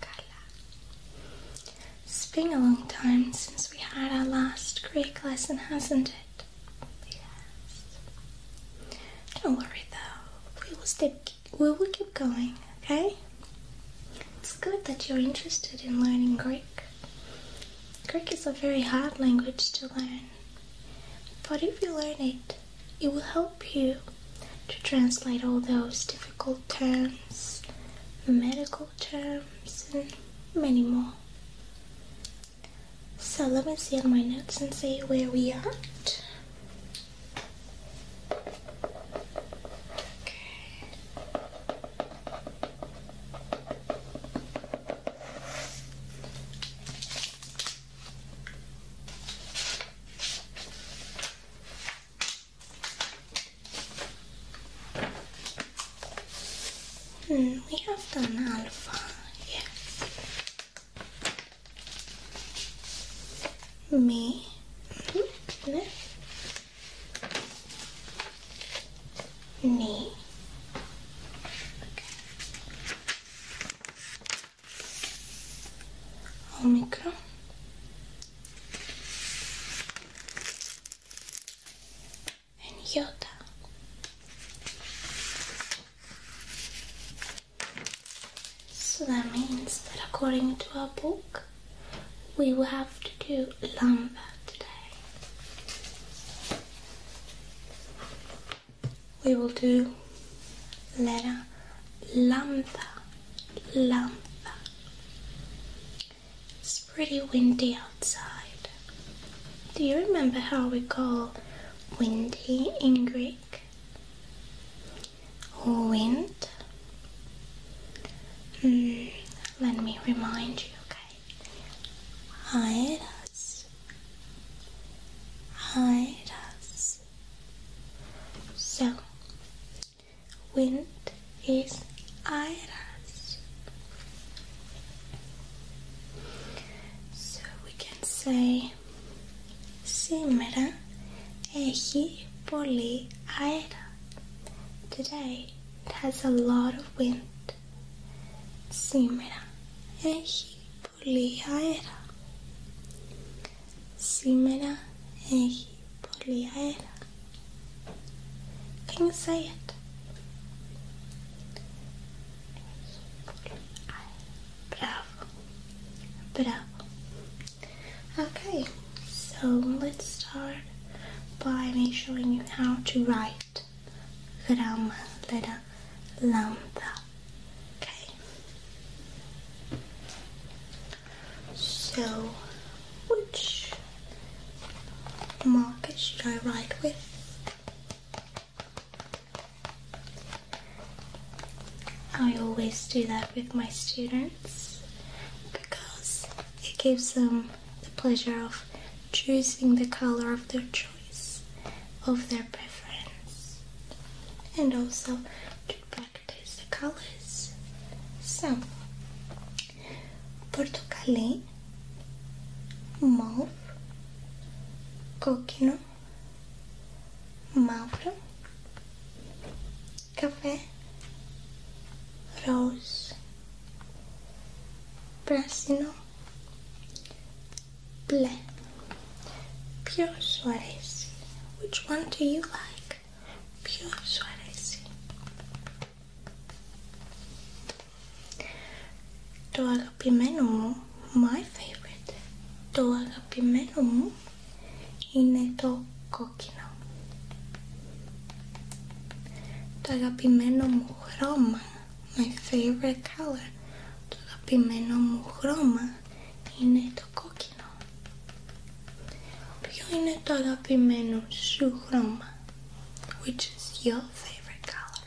Καλά. It's been a long time since we had our last Greek lesson, hasn't it? Yes. Don't worry though. we will keep going, okay? It's good that you're interested in learning Greek. Greek is a very hard language to learn, but if you learn it, it will help you to translate all those difficult terms, medical terms, and many more. So let me see on my notes and see where we are at. Mm, we have done alpha, yeah. Me, mm-hmm, your knee. Okay. Omicron. And Yoda. So that means that according to our book, we will have to do lambda today. We will do letter lambda, lumber. It's pretty windy outside. Do you remember how we call windy in Greek? wind. Hmm, let me remind you, okay? Hide us. Hide us. So, wind is iris. So we can say, Σήμερα έχει πολύ αέρα. Today it has a lot of wind. Σήμερα έχει πολύ αέρα. Σήμερα έχει πολύ αέρα. Can you say it? Bravo. Bravo. Okay, so let's start by me showing you how to write gram letter lambda. Okay. So which marker should I write with? I always do that with my students because it gives them the pleasure of choosing the color of their choice, of their preference, and also to practice the colors. So, portocalé, mauve, coquino, mauro, café, rose, brasino, ble, pure suarez. Which one do you like? Pure suarez. Το αγαπημένο μου, my favorite, Do το αγαπημένο μου είναι το κόκκινο. Το αγαπημένο μου χρώμα, my favorite color, το αγαπημένο μου χρώμα είναι το κόκκινο. Ποιο είναι το αγαπημένο σου χρώμα, which is your favorite color.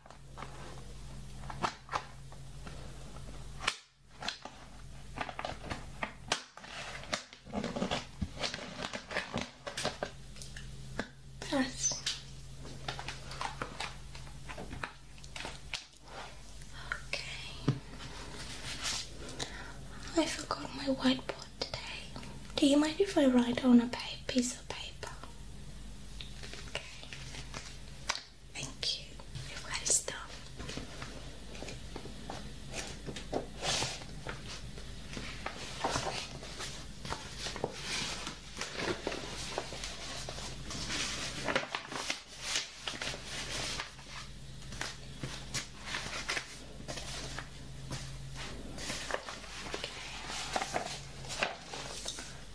Nice. Okay. I forgot my whiteboard today. Do you mind if I write on a piece Thank you. You're well done.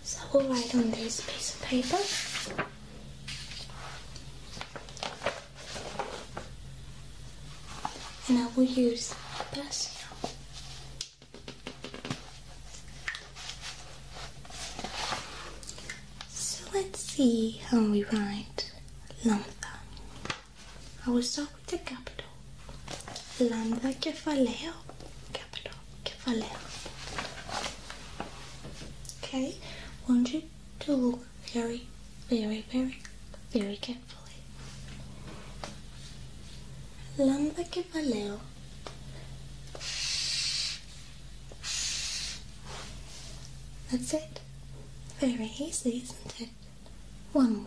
So we'll write on this piece of paper. And I will use a pencil. So let's see how we write lambda. I will start with the capital. Lambda Kephaleo capital Okay, want you to look very, very, very, very carefully. Lambda Kefaleo. That's it. Very easy, isn't it? One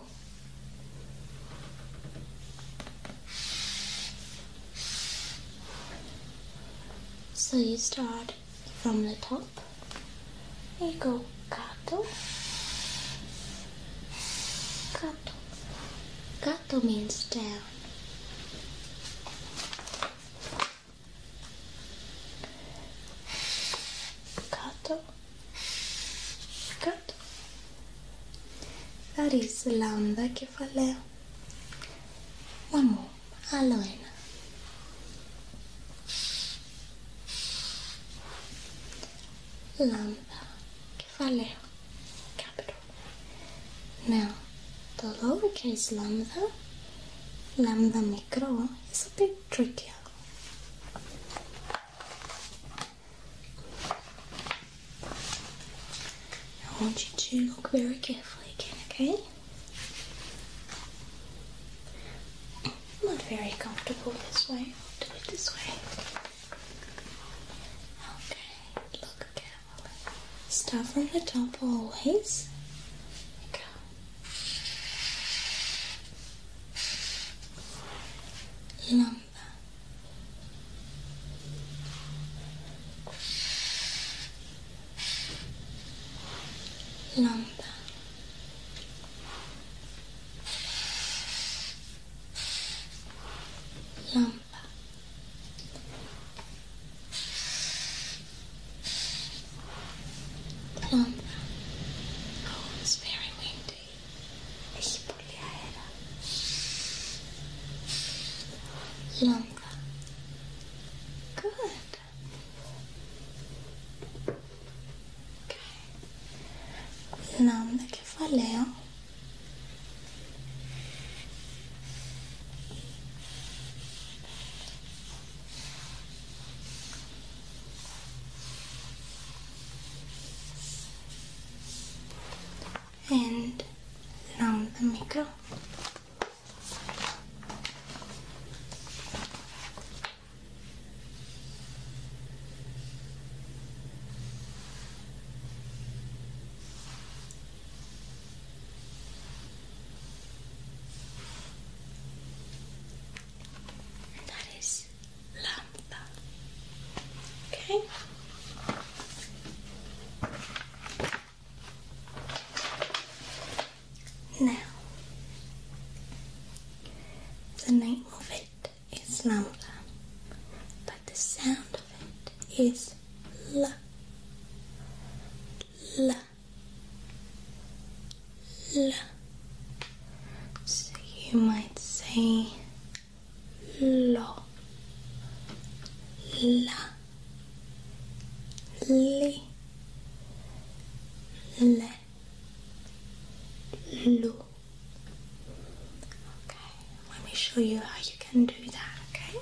so you start from the top, you go kato. Kato. Kato means down. Kato. Kato. That is lambda kefaleo. One more, aloena. Lambda capital. Now, the lowercase lambda, lambda micro, is a bit trickier. I want you to look very carefully again, okay? I'm not very comfortable this way. do it this way. Okay, look carefully. Start from the top always. go. Long Lambda. Lambda. Lambda. Oh, it's very windy. Ich poliera. Longer. Good. Okay. Lambda kefaleo and now the makeup. that is lamp. Okay. Now, the name of it is lambda, but the sound of it is la, la, la. So you might say lo, la, li, le, lu. Okay, let me show you how you can do that. Okay.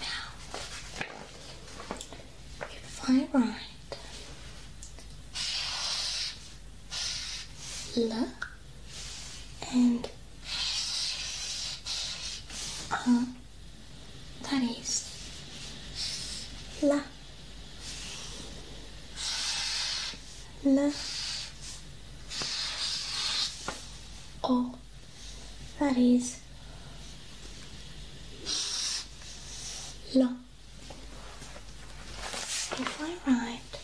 Now, if I write L and uh, that is La L O. That is L. If I write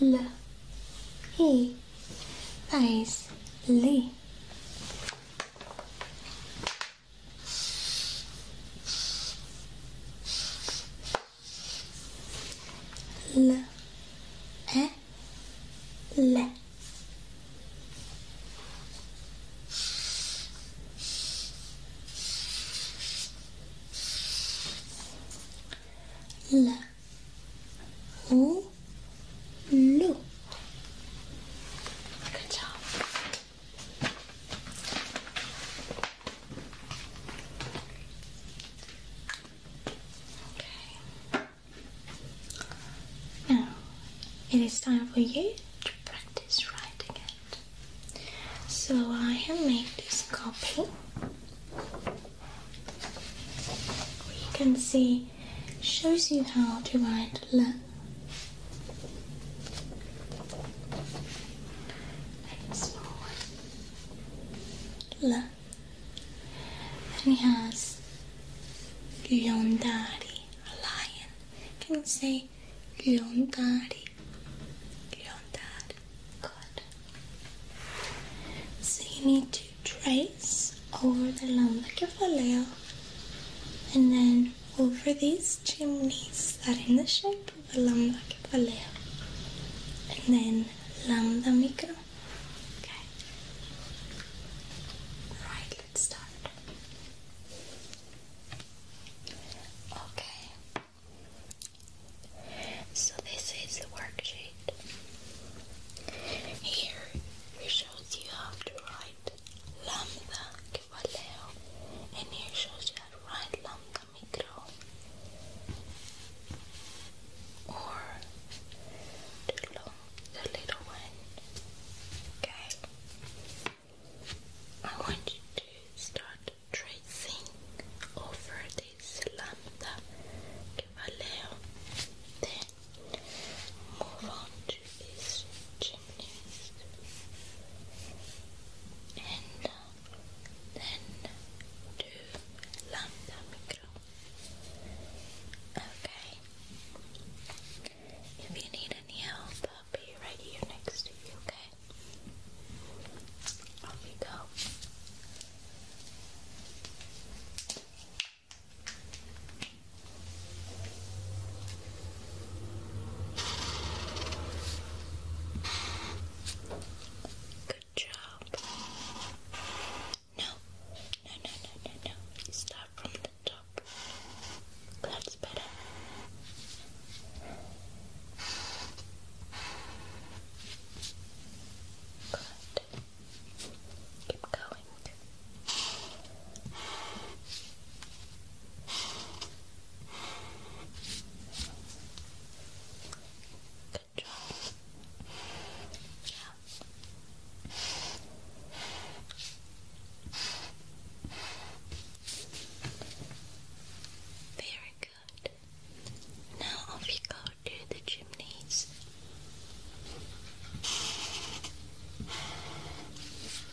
L E, that is Lee. L E L L O L Good job. Now, it is time for you to practice writing it. So I have made this copy. You can see shows you how to write left and small one. Look, and he has Yondari, a lion. Can you say Yondari? Yondari, good. So you need to trace over the lambda and then over these chimneys that are in the shape of a lambda capaleo and then lambda micro. Okay. Right, let's start. Okay. So this is the worksheet. Here it shows you how to write lambda and it shows that right lambda micro or the long, the little one. Okay. I want you to start tracing over this lambda que Then move on and uh, then do lambda micro. Okay. If you need any help, I'll be right here next to you, okay? Off we go. Good job. No, no, no, no, no, no. start from the top. That's better. Good. Keep going. Wink. Good job. Yeah. Very good. Now off you go to the chimneys.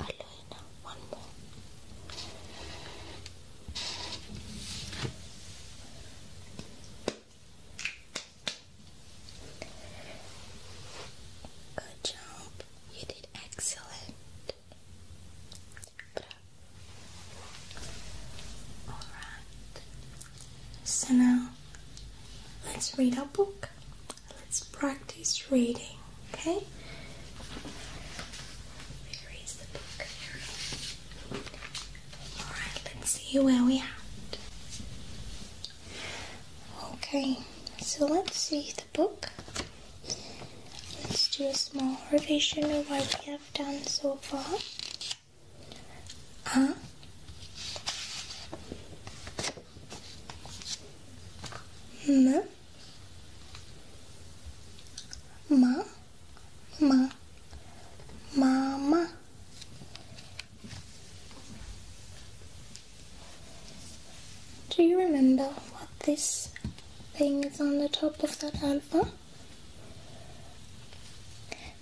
Aloe one more. Good job. You did excellent. Alright. So now let's read our book. Let's practice reading, okay? Alright, let's see where we at. Okay, so let's see the book. Let's do a small revision of what we have done so far. Huh? N Ma Ma Mama Do you remember what this thing is on the top of that alpha?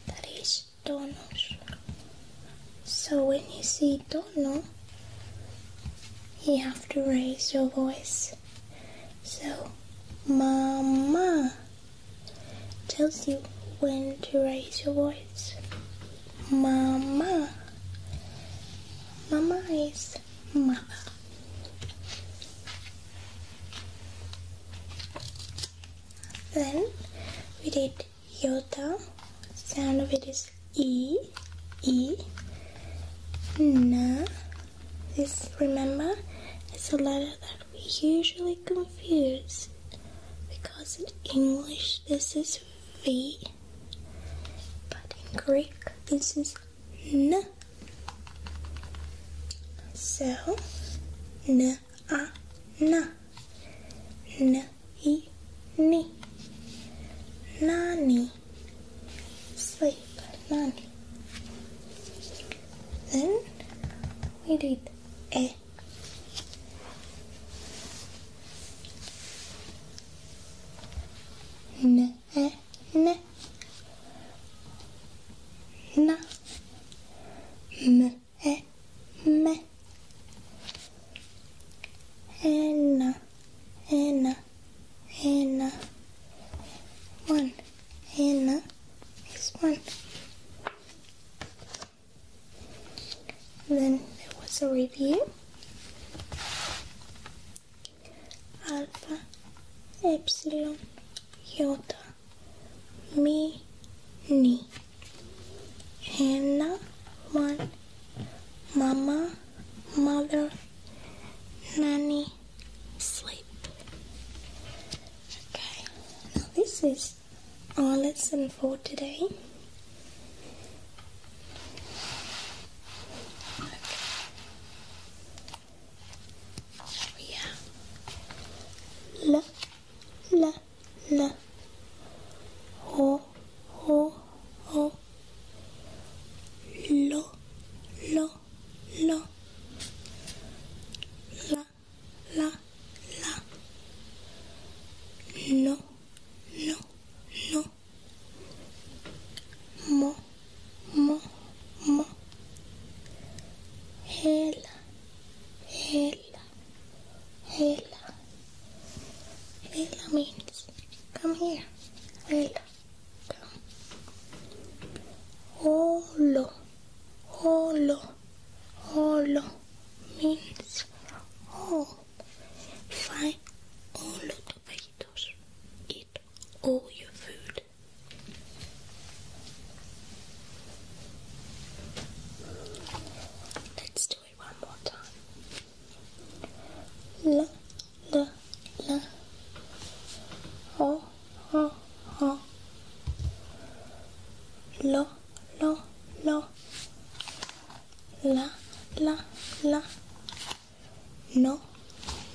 That is donos. So when you see do do you have to raise your voice. So, mama tells you when to raise your voice. Mama. Mama is mother. Then we did Yota. sound of it is E, E, na. This, remember, it's a letter that we usually confuse because in English this is V, but in Greek this is na. So, na na na. E ni Nani Sleep Nani Then we did E N E N Na M E Me Anna, Anna, Anna. One, Anna is one. Then there was a review. Alpha, Epsilon, Iota, mi, Ni. Hannah, one, mama, mother, nanny, sleep. Okay, now this is our lesson for today. Okay. We la, la, la, ho, o o lo lo lo la la la no no no mo mo mo hela hela hela Leila means come here. Leila, come. Holo, holo, holo means all. Find all the tomatoes. Eat all your food. Let's do it one more time. La, la, la. Ho, ho, ho. Lo, lo, lo. La, la, la. No,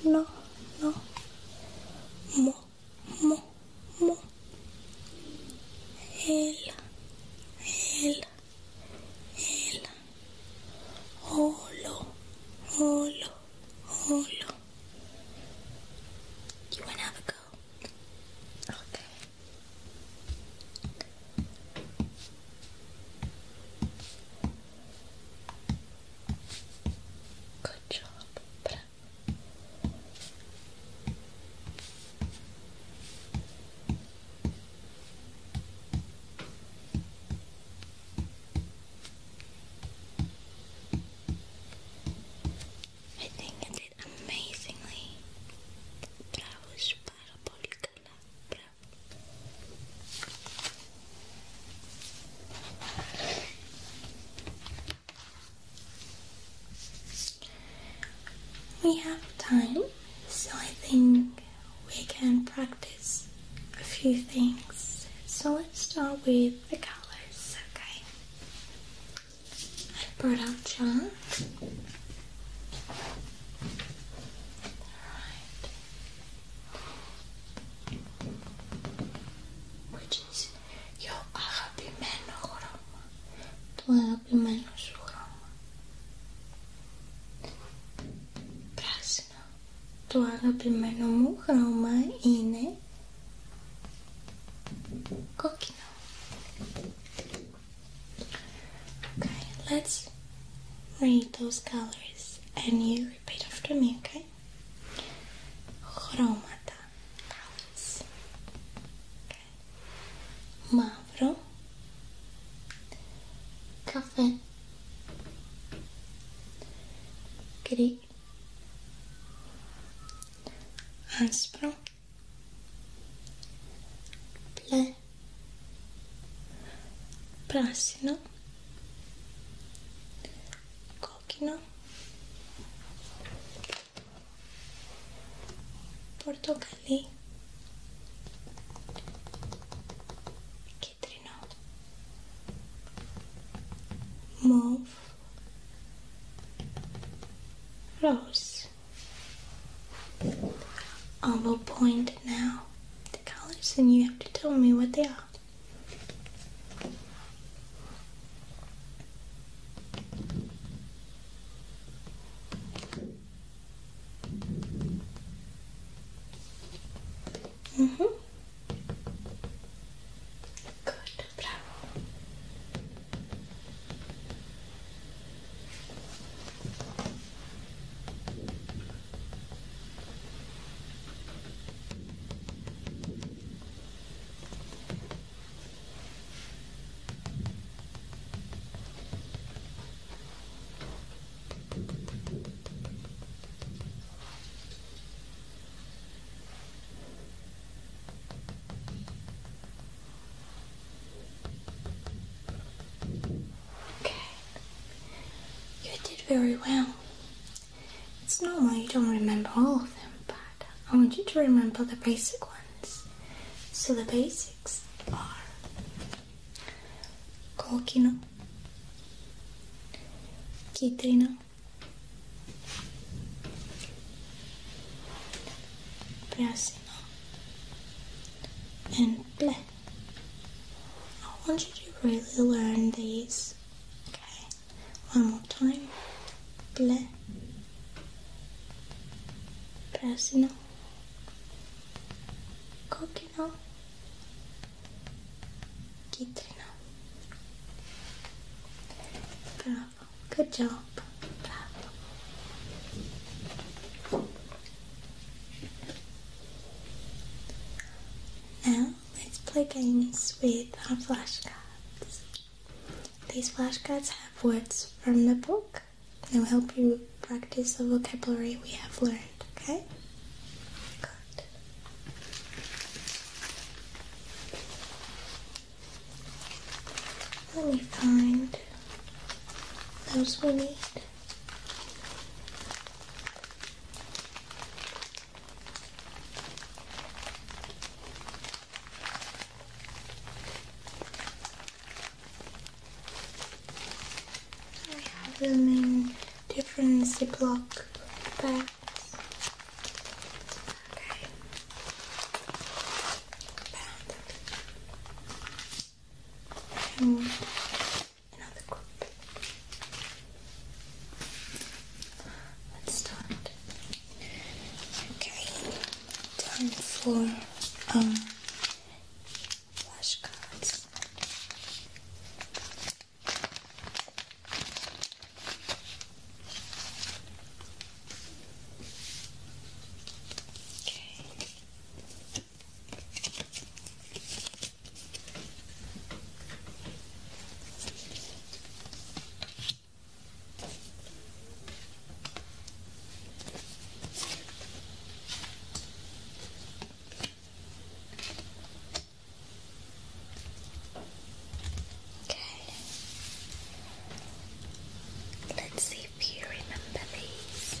no, no. Mo, mo, mo. El, el holo, holo, holo. You wanna have a go? Okay. Good job. Bra I think I did amazingly. Bravos para Bravo. We have time, so I think we can practice a few things. So let's start with the colors, okay? I brought out John. Which is your Arabi men Tudo più o meno suro. Krasno. Toaga primeno muhroma ine kokino. Okay, let's read those colors and you repeat after me, okay? Chromata colors. Okay. mavro, café, gris, áspero, plé, prassino, coquino, portocali Κίτρινο. Μόβ. Rose. I'll will point now the colors and you have to tell me what they are. Mm -hmm. Good, bravo. Okay. You did very well. It's normal you don't remember all of them, but I want you to remember the basic ones. So the basic six are Kokino, Kitrino, Brasino, and Ble. I want you to really learn these. Okay, one more time. Ble, Brasino. Kokino Kitrino. Bravo. Good job. Bravo. Now let's play games with our flashcards. These flashcards have words from the book and will help you practice the vocabulary we have learned, okay? Let me find those we need. I have them in different Ziploc bags. Okay. another group. Let's start. Okay. Time for um flashcards. Okay. Okay. Let's see if you remember these.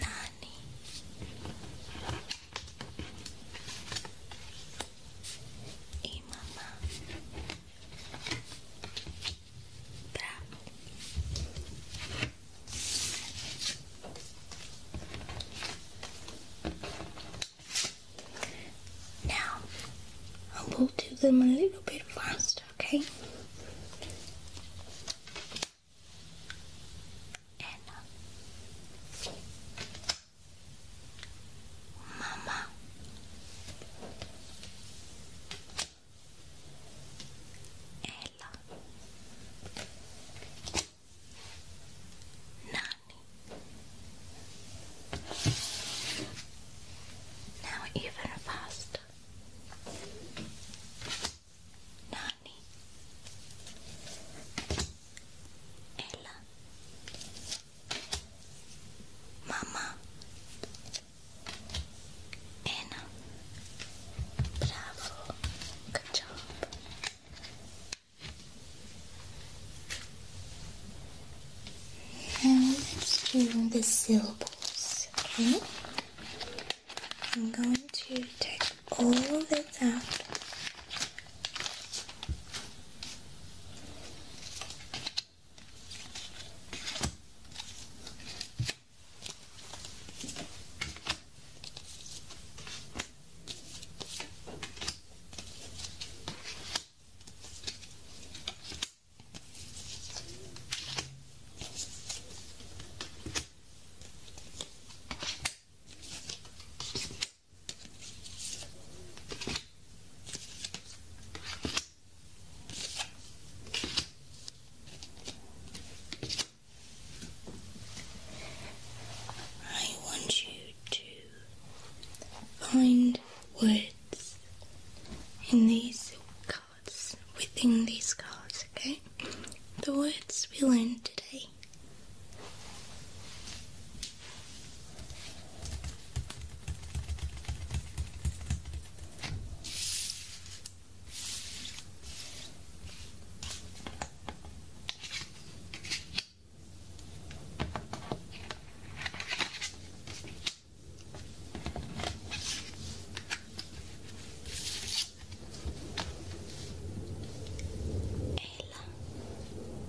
Nani? Now, I will do them a little bit faster okay? And uh, Mama. Ella. Nanny. Now even faster. Nani Ella Mama Anna Bravo Good job let's do the syllables, okay? I'm going to take all of this out. I want you to find words in these within these cards, okay? The words we learned today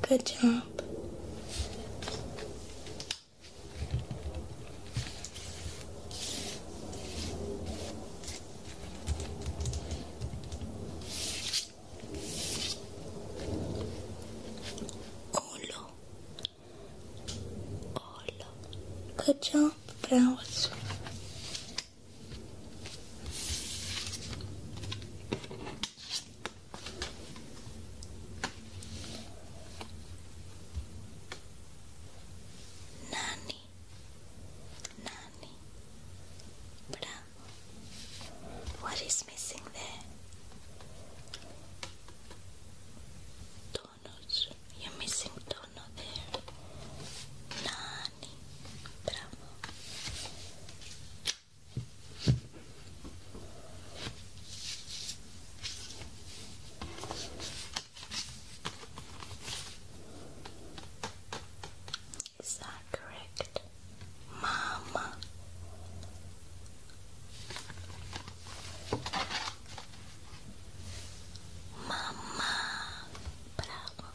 good job. Olo, Good job. Browse. Nani. Nani. What is missing there? donuts. You're missing donut there. Nani. Bravo. Is that correct? Mama. Mama. Bravo.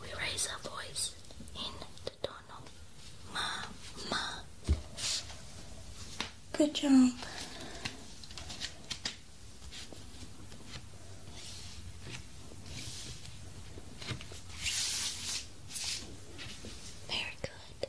We raise our voice in the tono. Mama. Good job. Very good.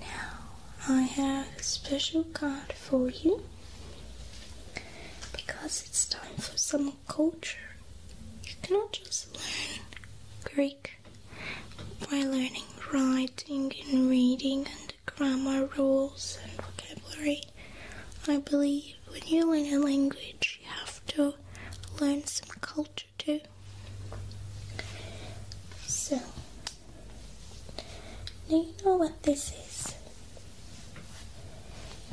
Now, I have a special card for you because it's time for some culture. You cannot just learn Greek by learning writing and reading and grammar rules and vocabulary. I believe when you learn a language, you have to learn some culture too. So, now you know what this is.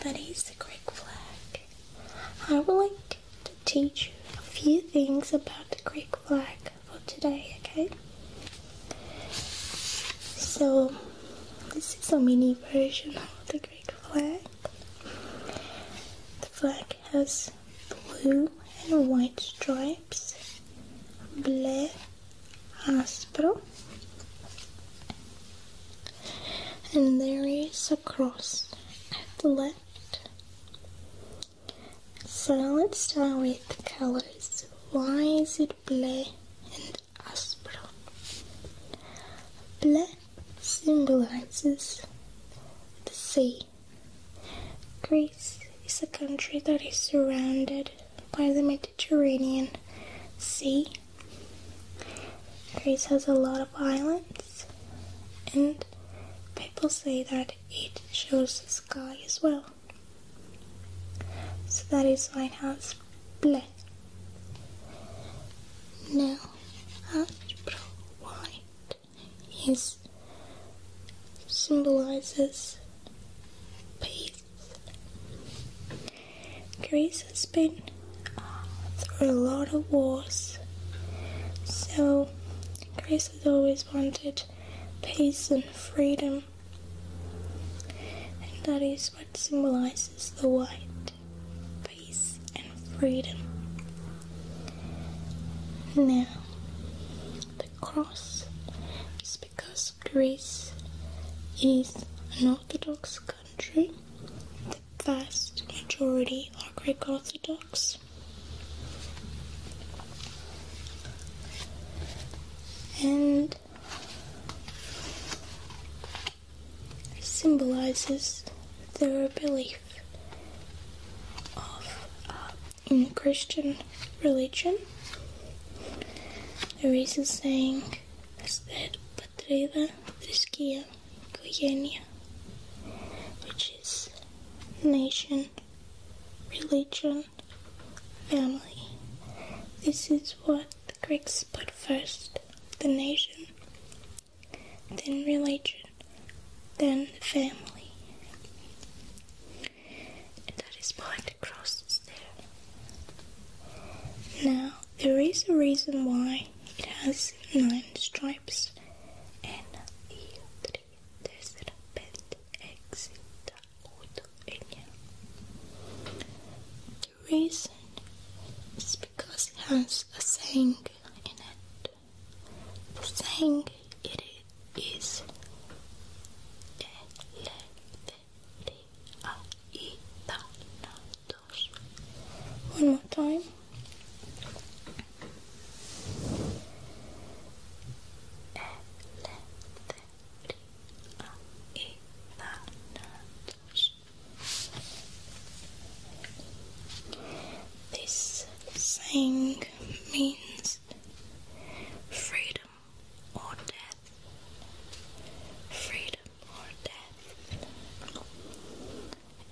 That is the Greek flag. I would like to teach you a few things about the Greek flag for today, okay? So, this is a mini version of the Greek flag. The flag has blue and white stripes, ble aspro, and there is a cross at the left. So let's start with the colors. Why is it blue and aspro? Blue symbolizes the sea. Greece is a country that is surrounded by the Mediterranean Sea Greece has a lot of islands, and people say that it shows the sky as well. So that is lighthouse ble. Now, astro white is symbolizes peace Greece has been through a lot of wars, so Greece has always wanted peace and freedom, and that is what symbolizes the white peace and freedom. Now, the cross is because Greece is an Orthodox country, the vast majority are Greek Orthodox. And symbolizes their belief of uh, in the Christian religion. There is a saying that πατρίδα, θρησκεία, οικογένεια which is nation, religion, family. This is what the Greeks put first, the nation, then religion, then the family. And that is why the cross is there. Now, there is a reason why it has nine stripes and The reason is because it has a saying in it. The saying it is. Oh, one more time. This saying means freedom or death, freedom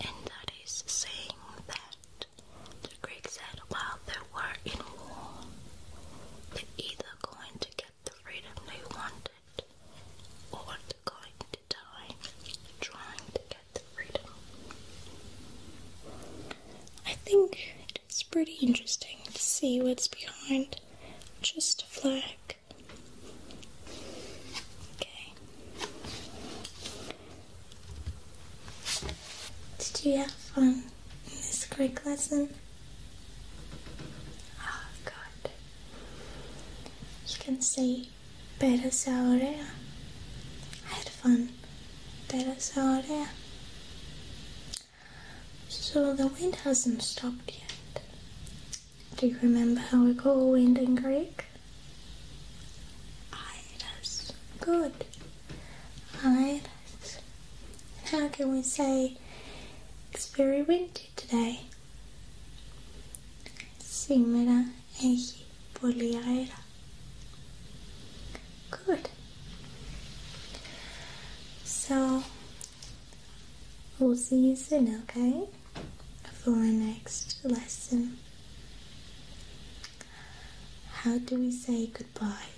and that is saying that the Greeks said while they were in war, they're either going to get the freedom they wanted or they're going to die trying to get the freedom. I think it's pretty interesting to see what's behind just a flag. Okay. Did you have fun in this Greek lesson? Oh, God. You can say Περασαωρέα. I had fun. Better Περασαωρέα. So the wind hasn't stopped yet. Do you remember how we call wind in Greek? Iris. Good. Iris. How can we say it's very windy today? Σήμερα έχει πολύ αέρα. Good. So We'll see you soon, okay? For our next lesson. How do we say goodbye?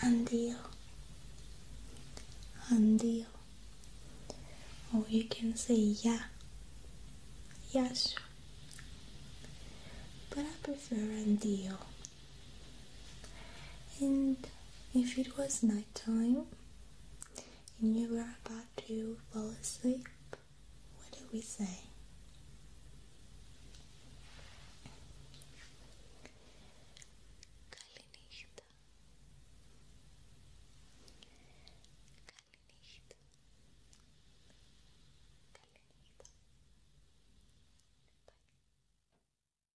Andio. Andio. Or you can say yeah. Yes. But I prefer andio and if it was nighttime and you were about to fall asleep, what do we say?